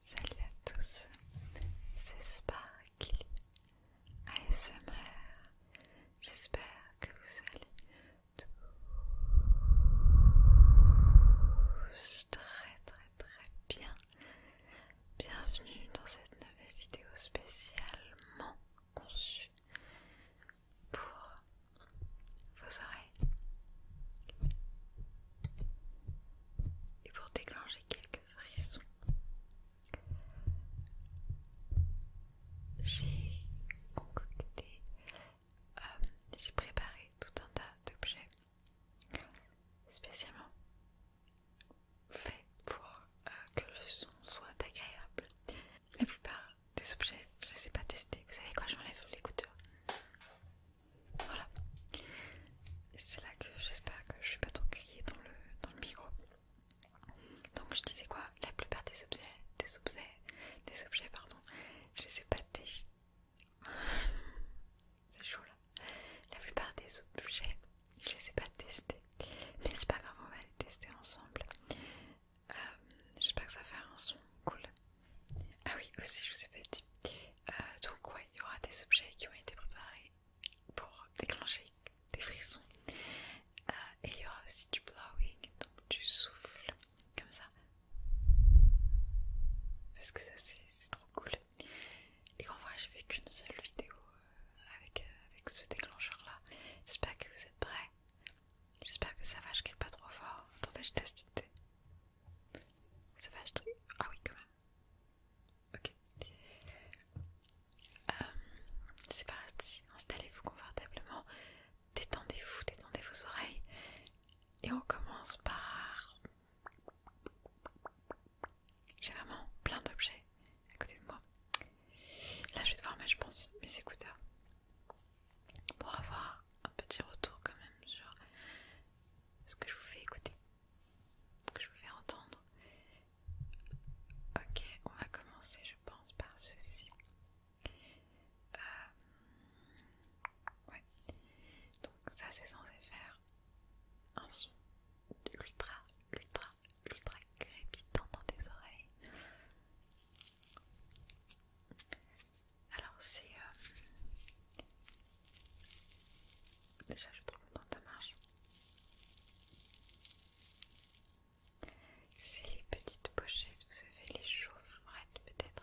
Salut à tous, c'est Sparkly ASMR. J'espère que vous allez tous très très très bien. Bienvenue dans cette nouvelle vidéo spécialement conçue pour vos oreilles et pour déclencher quelques frissons. J'ai concocté, euh, j'ai préparé tout un tas d'objets spécialement faits pour euh, que le son soit agréable la plupart des objets, je les ai pas testés. Vous savez quoi, j'enlève les coutures, Voilà. C'est là que j'espère que je suis pas trop criée dans le, dans le micro. Donc je disais quoi La plupart des objets, des objets, des objets, pardon, je les ai pas testés. C'est chaud là. La plupart des objets, je les ai pas testés. Mais c'est pas grave, on va les tester ensemble. Euh, j'espère que ça fait un son cool. Ah oui, aussi, je vous ai pas dit. Euh, donc, ouais, il y aura des objets qui ont été préparés pour déclencher des frissons. Euh, et il y aura aussi du blowing, donc du souffle, comme ça. Parce que ça, c'est trop cool. Et qu'en vrai, j'ai fait qu'une seule vidéo avec, avec ce déclencheur là. J'espère que vous êtes prêts. J'espère que ça va, je crie pas trop fort. Attendez, je teste Ça va, je te... Ah oui, quand même. Ok. Euh, c'est parti, installez-vous confortablement, détendez-vous, détendez vos oreilles. Et on commence par... J'ai vraiment plein d'objets à côté de moi. Là, je vais devoir mettre, je pense, mes écouteurs pour avoir un petit retour quand même sur ce que je vous fais écouter, ce que je vous fais entendre. Ok, on va commencer je pense par ceci. Euh, ouais. Donc ça c'est censé faire un son ultra ultra ultra crépitant dans tes oreilles. Alors c'est... Euh, déjà je trouve trop ça marche. C'est les petites pochettes, vous savez, les chaufferettes peut-être.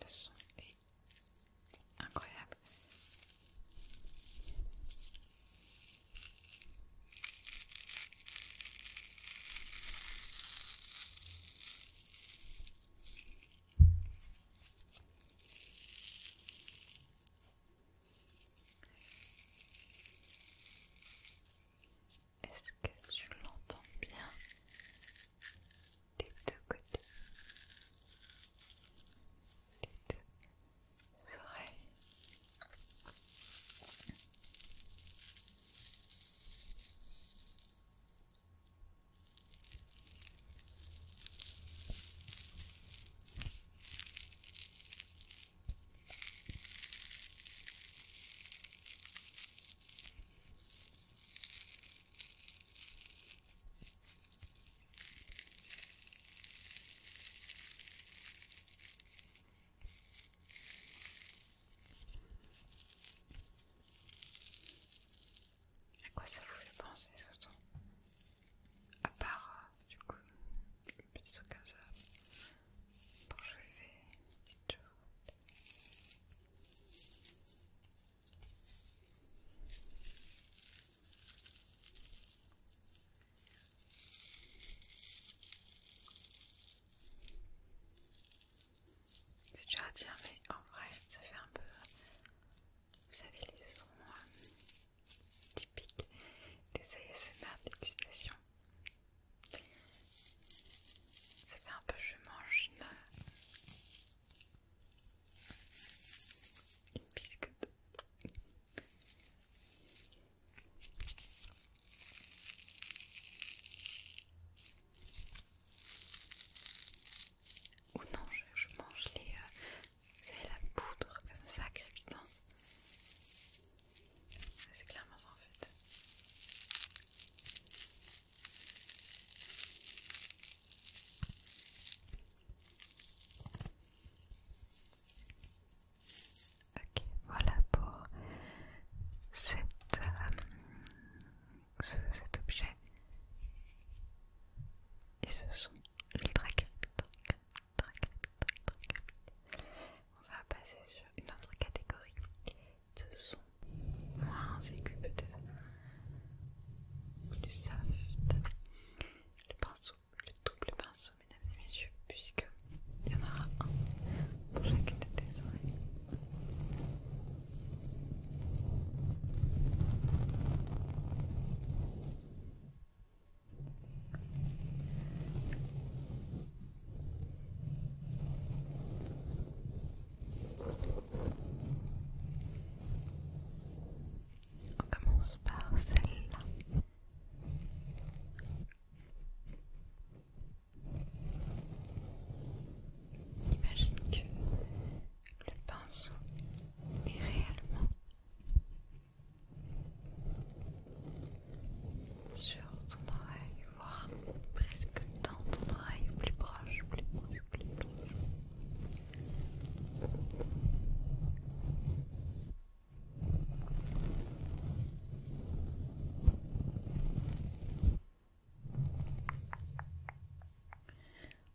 Le son est incroyable. Est-ce que tu l'entends bien des deux côtés des deux oreilles à quoi ça vous fait penser ce son À part euh, du coup, des petits trucs comme ça. Quand je fais des petites choses, c'est dur à dire, mais en vrai, ça fait un peu. Vous savez, les sons euh, typiques des ASMR dégustation. Ça fait un peu je mange une, une biscotte. Ou non, je, mange les... Euh, la poudre comme ça, crépitant. Ah, c'est clairement en Ok, voilà pour euh, cet objet et ce sont ultra on va passer sur une autre catégorie de sons moins aiguë peut-être, plus soft. Le pinceau, le double pinceau, mesdames et messieurs, puisque il y en aura un pour chacune de tes oreilles. On commence par celle-là. Imagine que le pinceau est réellement sur ton oreille, voire presque dans ton oreille, plus proche, plus proche, plus proche.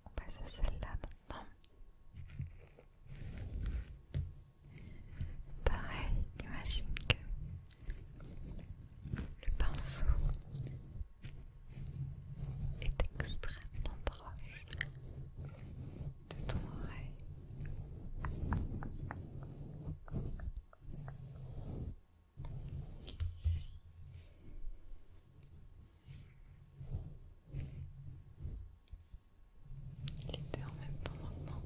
On passe à celle-là maintenant. Pareil, imagine que le pinceau est extrêmement proche de ton oreille. Il était en même temps maintenant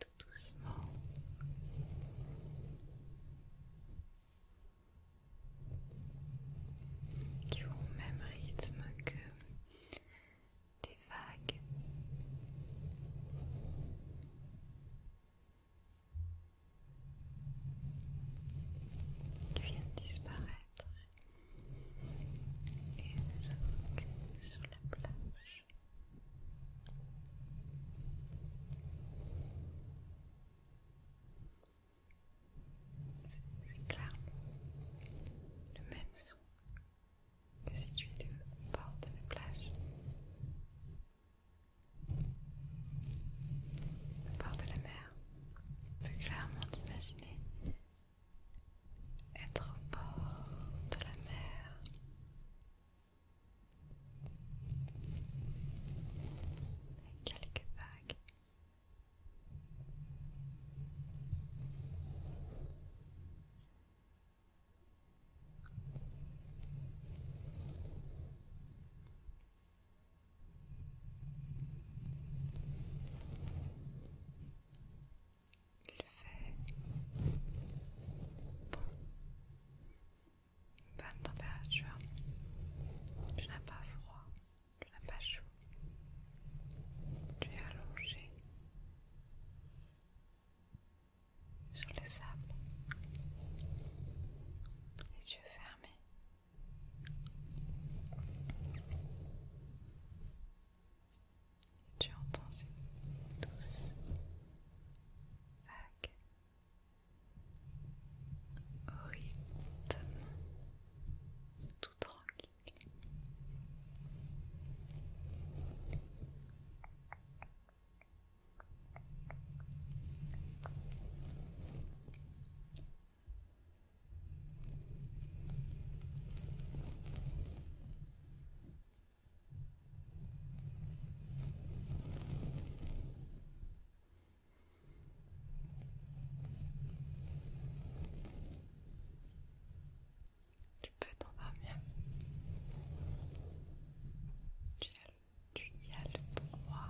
tout doucement. Qui ont au même rythme que des vagues. Qui viennent disparaître et se sur la plage. C'est clairement le même son que si tu étais bord de la plage. Au bord de la mer, on peut clairement t'imaginer être au bord de la mer. avec quelques vagues. Il fait bonne température. Tu n'as pas froid, tu n'as pas chaud. Tu es allongé sur le sable, les yeux fermés. Tu entends ces douces vagues au rythme tout tranquille. Tu peux t'endormir. Tu, y as le droit.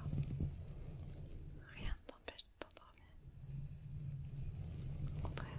Rien ne t'empêche de t'endormir. Au contraire,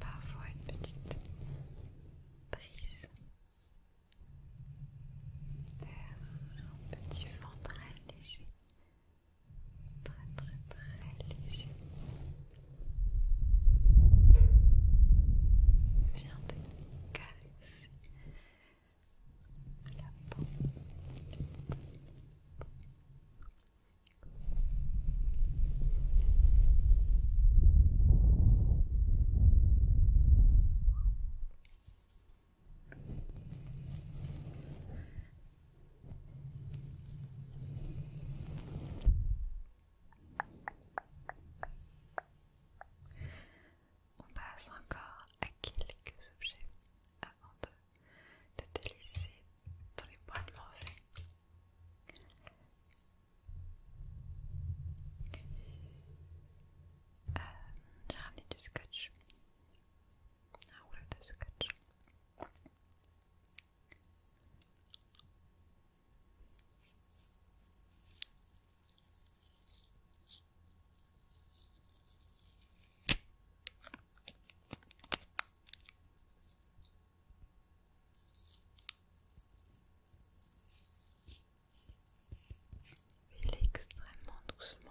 parfois une petite brise d'air, un petit vent très léger, très très très léger vient de caresser la peau, on passe encore à quelques objets avant de, te dans les bras de Morphée. Euh, J'ai ramené du scotch, un rouleau de scotch. Il est extrêmement doucement.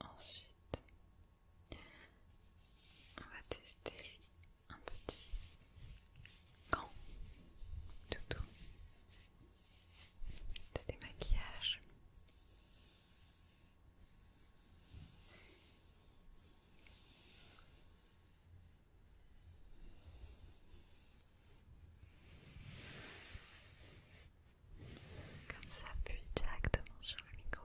Ensuite, on va tester un petit gant tout des maquillages Comme ça appuie directement sur le micro.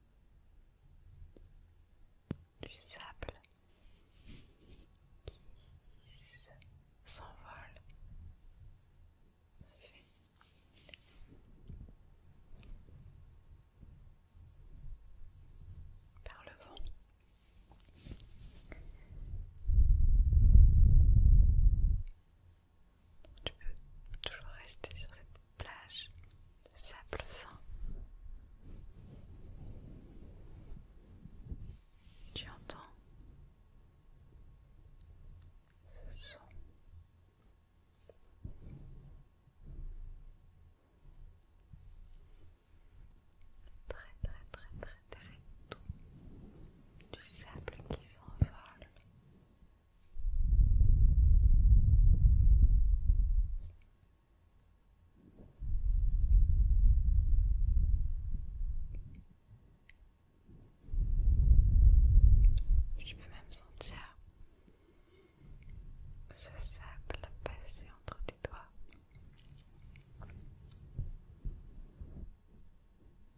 du sable qui s'envole. Par le vent. Tu peux toujours rester sur cette plage de sable fin. Tu entends ce son. Très très très très très doux du sable qui s'envole je peux même sentir ce sable passer entre tes doigts.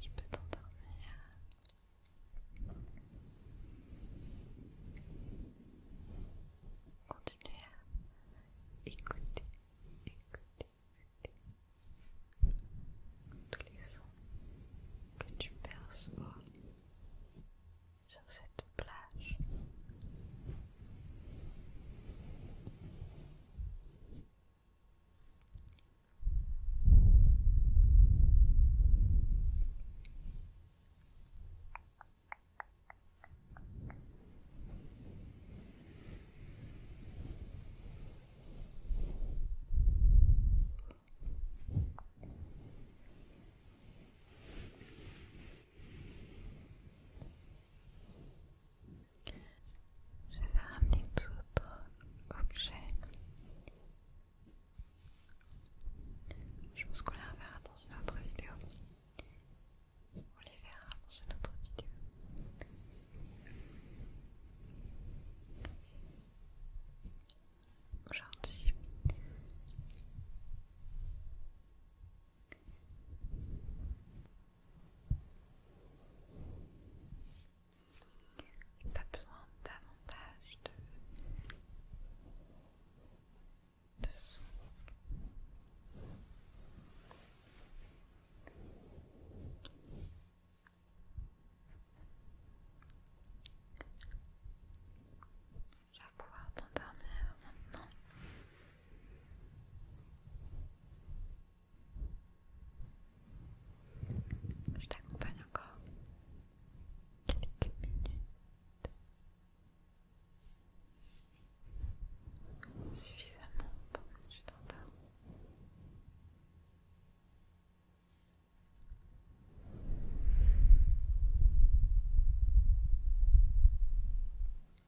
Je peux t'endormir. continuer à écouter, écouter, écouter tous les sons que tu perçois sur cette plage. Je vais ramener d'autres objets, Je pense qu'on les reverra dans une autre vidéo. On les verra dans une autre vidéo. Aujourd'hui, pas besoin davantage de, son. Je vais pouvoir t'endormir maintenant. Je t'accompagne encore quelques minutes. Suffisamment pour que tu t'endormes.